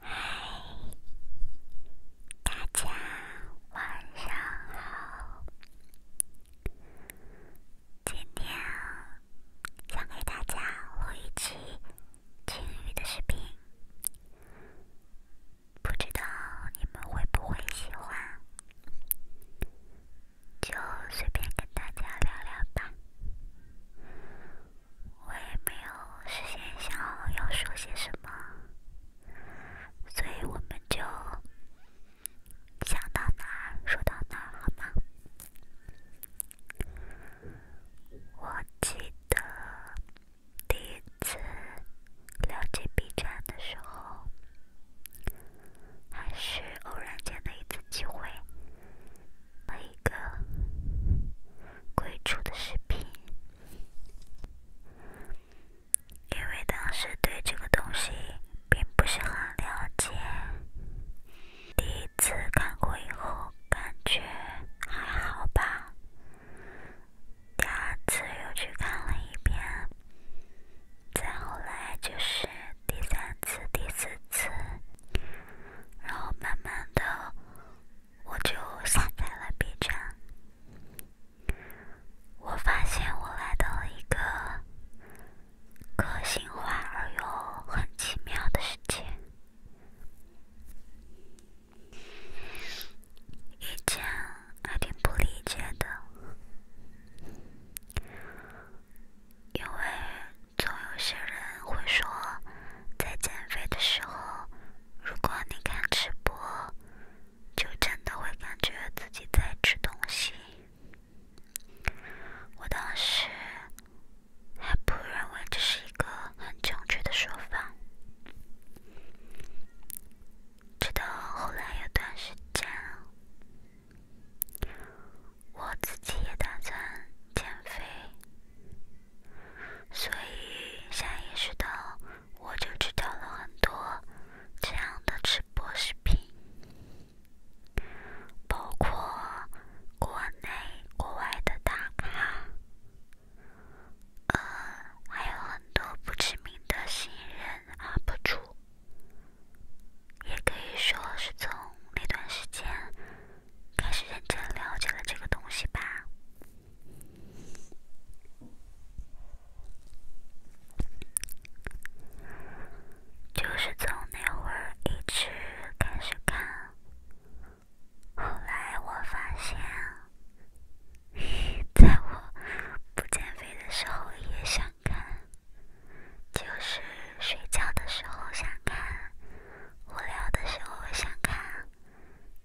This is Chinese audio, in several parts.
嗨，大家晚上好。今天想给大家录一期晴雨的视频，不知道你们会不会喜欢，就随便跟大家聊聊吧。我也没有事先想好要说些什么，所以我们就想到哪说到哪，好吗？我记得第一次了解 B 站的时候，还是偶然间的一次机会，那一个。鬼畜的视频，因为当时对这个东西并不是很了解，第一次看过以后感觉还好吧，第二次又去看了一遍，再后来就是第三次、第四次，然后慢慢的。我就下载了 B 站，我发现我来到了一个个性化而又很奇妙的世界，以前还挺不理解的，因为。总有些人会说，在减肥的时候，如果你看吃播，就真的会感觉自己在吃东西。我当时还不认为这是一个很正确的说法，直到后来有段时间，我自己也打算减肥。所以，下意识的，我就去道了很多这样的直播视频，包括国内、国外的大咖，呃，还有很多不知名的新人 UP 主，也可以说是从那段时间。开始认真了解了这个东西吧，就是从那会儿一直开始看，后来我发现，在我不减肥的时候也想看，就是睡觉的时候想看。无聊的时候会想看，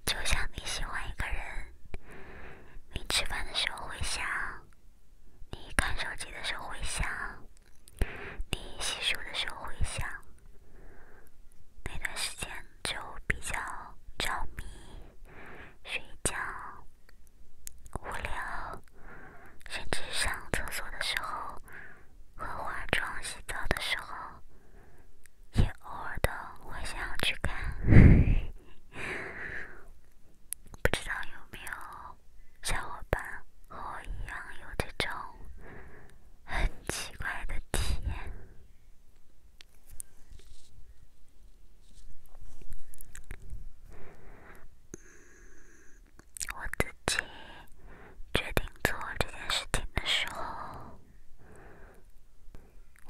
就像你喜欢一个人，你吃饭的时候会想，你看手机的时候会想，你洗漱的时候会想，那段时间就比较着迷，睡觉、无聊，甚至上厕所的时候。和化妆、洗澡的时候，也偶尔的会想要去看，不知道有没有小伙伴和我一样有这种很奇怪的体验。嗯，我自己。决定做这件事情的时候，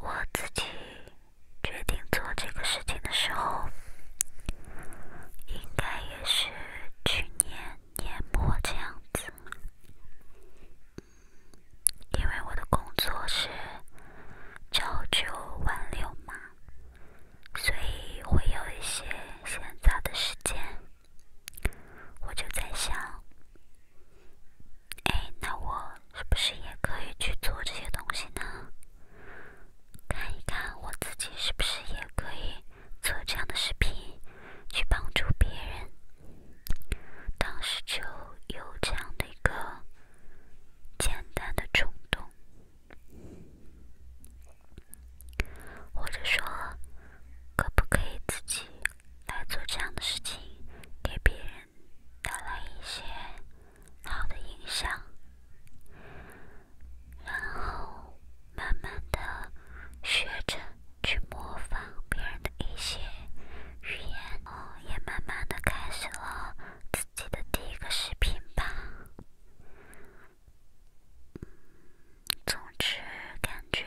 我自己决定做这个事情的时候，应该也是去年年末这样子。因为我的工作是朝九晚六嘛，所以会有一些闲杂的时间。我就在想，哎，那我是不是也可以去做这些东西呢？看一看我自己是不是也可以做这样的视频，去帮助别人。当时就有这样的一个简单的冲动。或者说，可不可以自己来做这样的事情，给别人带来一些好的影响，然后慢慢的学着去模仿别人的一些语言，哦，也慢慢的开始了自己的第一个视频吧。总之，感觉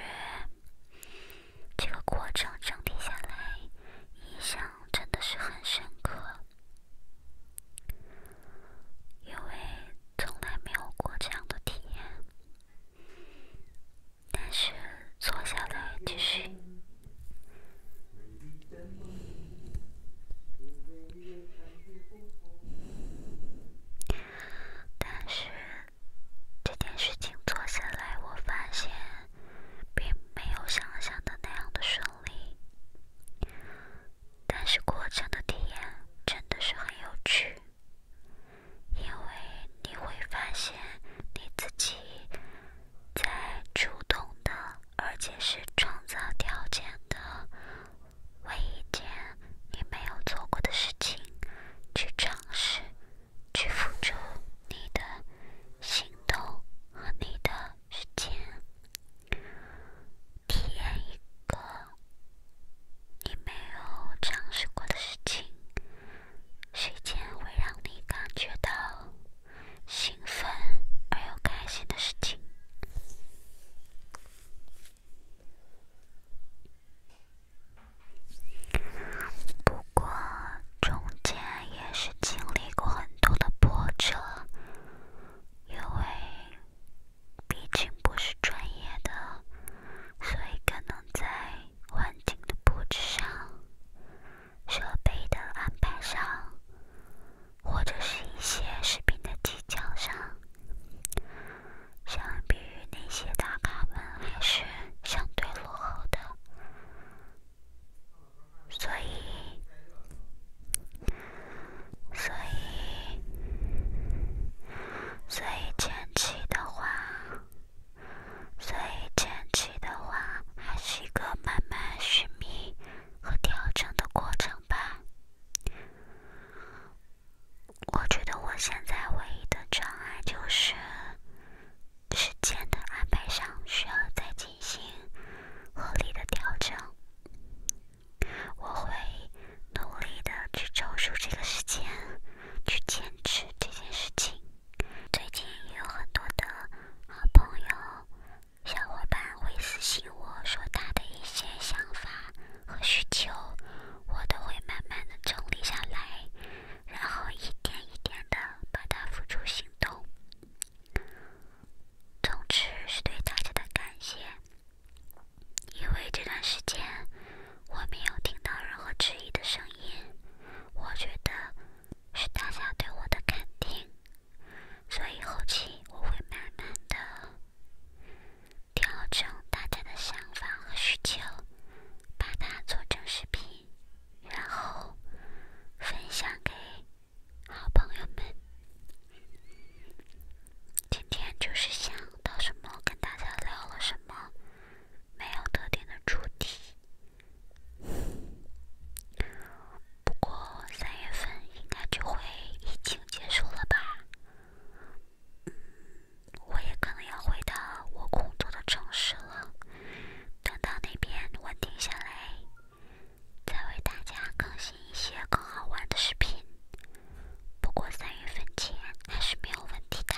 这个过程整体下来，印象真的是很深刻，因为从来没有过这样的体验。但是坐下来继续，但是。这件事情做下来，我发现并没有想象的那样的顺利，但是过程的体验真的是很有趣，因为你会发现你自己在主动的，而且是创造条件的为一件。你没有做过的事情，去尝试，去付出你的行动和你的时间，体验一个你没有尝试过的事情，时间会让你感觉到兴奋而又开心的事情。不过中间也是经历过很多的波折，因为毕竟不是专业的，所以可能在环境的布置上、设备的安排上，或者是一些视频的技巧上。相比于那些大咖们，还是相对落后的，所以，所以，所以前期的话，所以前期的话，还是一个慢慢寻觅和调整的过程吧。我觉得我现在唯一的障碍就是时间的安排上需要再进行合理的调整。我会努力的去抽出这个时间去坚持这件事情。最近有很多的好朋友、小伙伴会私信我说他的一些想法和需求。我都会慢慢的整理下来，然后一点一点的把它付出行动。总之是对大家的感谢，因为这段时间我没有听到任何质疑的声音，我觉得是大家对我的肯定，所以后期我会慢慢的。调整大家的想法和需求，把它做成视频，然后分享给好朋友们。今天就是想到什么跟大家聊了什么，没有特定的主题。不过三月份应该就会疫情结束了吧。我也可能要回到我工作的城市了。等到那边稳定下来，再为大家更新一些更好玩的视频。不过三月份前还是没有问题的。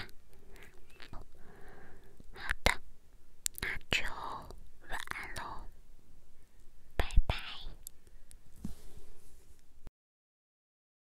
好的，那就晚安喽，拜拜。